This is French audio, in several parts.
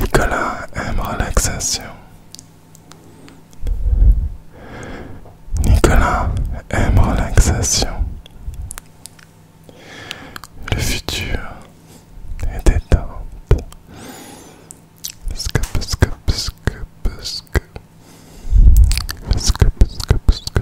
Nicolas aime relaxation. Nicolas aime relaxation. Le futur est temps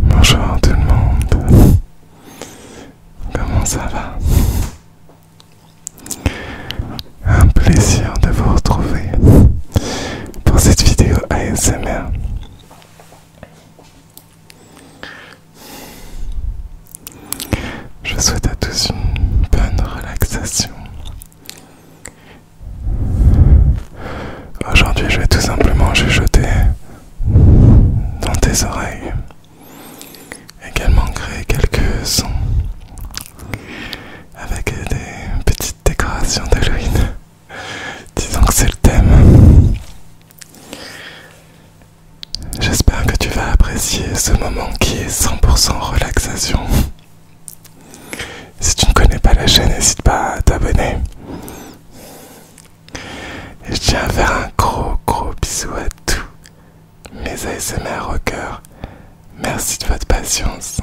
Bonjour tout le monde. Comment ça va Un plaisir de vous retrouver pour cette vidéo ASMR. Je souhaite à tous une bonne relaxation Aujourd'hui, je vais tout simplement jeter dans tes oreilles. Également créer quelques sons avec des petites décorations d'Halloween. Disons que c'est le thème. J'espère que tu vas apprécier ce moment qui est 100% relaxation. Si tu ne connais pas la chaîne, n'hésite pas à t'abonner. Et je tiens à faire un gros gros bisou à tous mes ASMR coeur Merci de votre patience.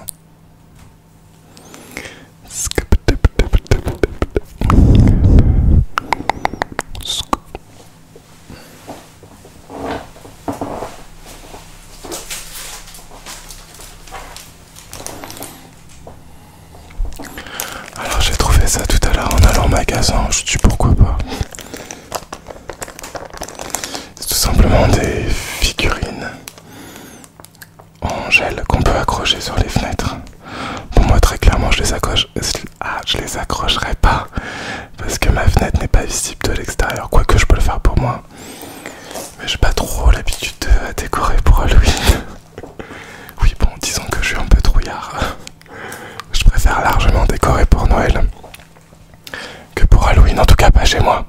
Alors j'ai trouvé ça tout à l'heure en allant au magasin, je sais pourquoi pas. C'est tout simplement des figurines en gel qu'on peut accrocher sur les fenêtres. Pour moi très clairement je les accroche. Ah, je les accrocherai pas parce que ma fenêtre n'est pas visible de l'extérieur, quoique je peux le faire pour moi. Mais j'ai pas trop l'habitude à décorer pour Halloween. oui, bon, disons que je suis un peu trouillard. je préfère largement décorer pour Noël que pour Halloween, en tout cas pas chez moi.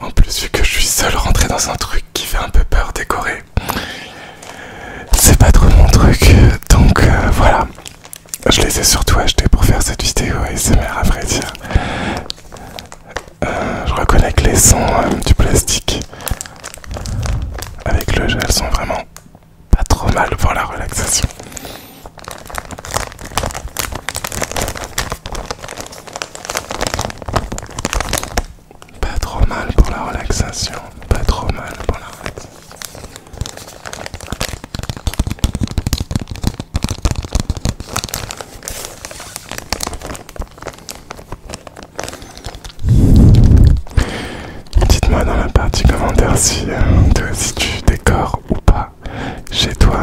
En plus, vu que je suis seul rentré dans un truc qui fait un peu peur décorer, c'est pas trop mon truc. Donc euh, voilà, je les ai surtout achetés pour faire cette vidéo ASMR à vrai dire. Euh, je reconnais que les sons euh, du plastique avec le gel sont vraiment pas trop mal pour la relaxation. Pas trop mal pour la relaxation. Pas trop mal pour la relaxation. Dites-moi dans la partie commentaire si, euh, si tu décores ou pas chez toi.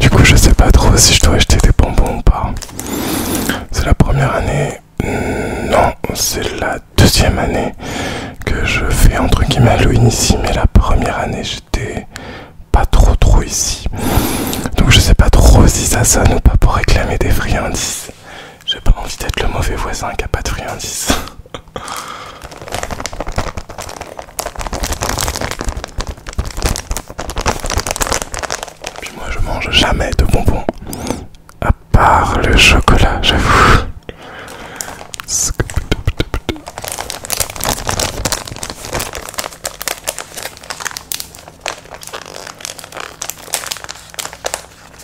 Du coup, je sais pas trop si je dois acheter des bonbons ou pas. C'est la première année, hmm, non, c'est la deuxième année que je fais entre guillemets Halloween ici, mais la première année j'étais pas trop trop ici. Donc je sais pas trop si ça sonne ou pas pour réclamer des friandises. J'ai pas envie d'être le mauvais voisin qui a pas de friandises. Puis moi je mange jamais de bonbons. À part le chocolat, j'avoue.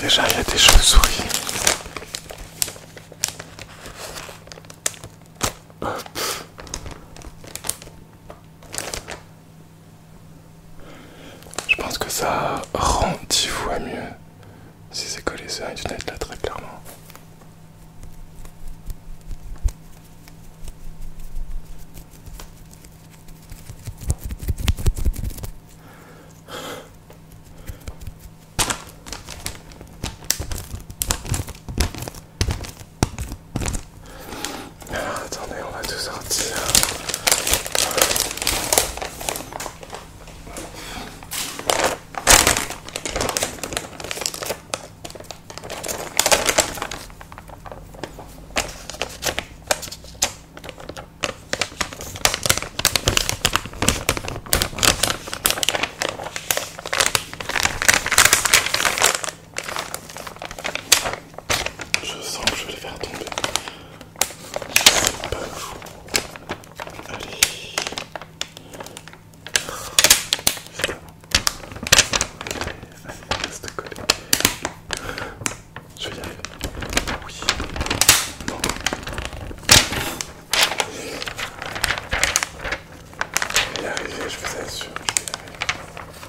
Déjà, il y a des cheveux souris je pense que ça rend dix fois mieux si c'est collé sur une là très clairement attendez, on va tout sortir. Je sens que je vais les faire tomber. C'est pas Allez. Je vais y arriver. Je vais y arriver, je vous assure, je vais y arriver.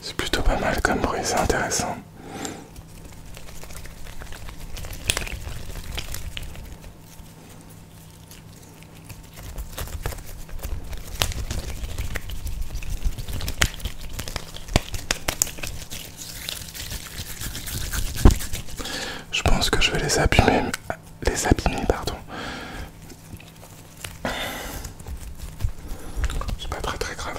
C'est plutôt pas mal comme bruit, c'est intéressant. Je pense que je vais les abîmer, les abîmer, pardon. C'est pas très très grave.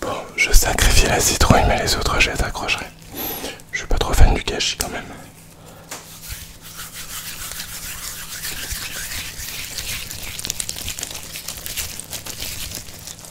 Bon, je sacrifie la citrouille, mais les autres, je les accrocherai. Je suis pas trop fan du cachet quand même.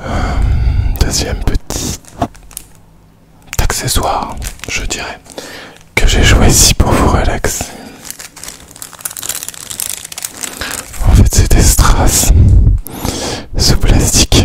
Euh, deuxième petit accessoire, je dirais, que j'ai choisi pour vous relaxer. En fait, c'est des strass sous plastique.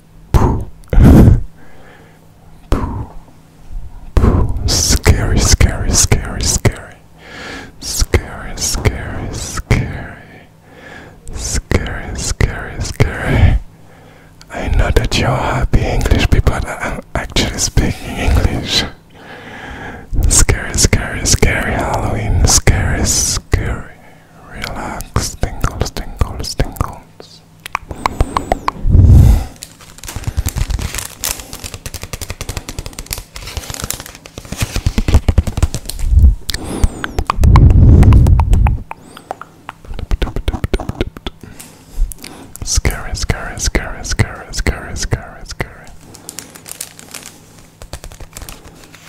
Poo. Poo. Poo. Scary, scary, scary, scary. Scary, scary, scary. Scary, scary, I know that you're happy English people I'm actually speaking English. Scary, scary, scary Halloween. Scary, scary. Relax. Tingles, tingles, tingles this. Scary, scary, scary, scary, scary, scary, scary.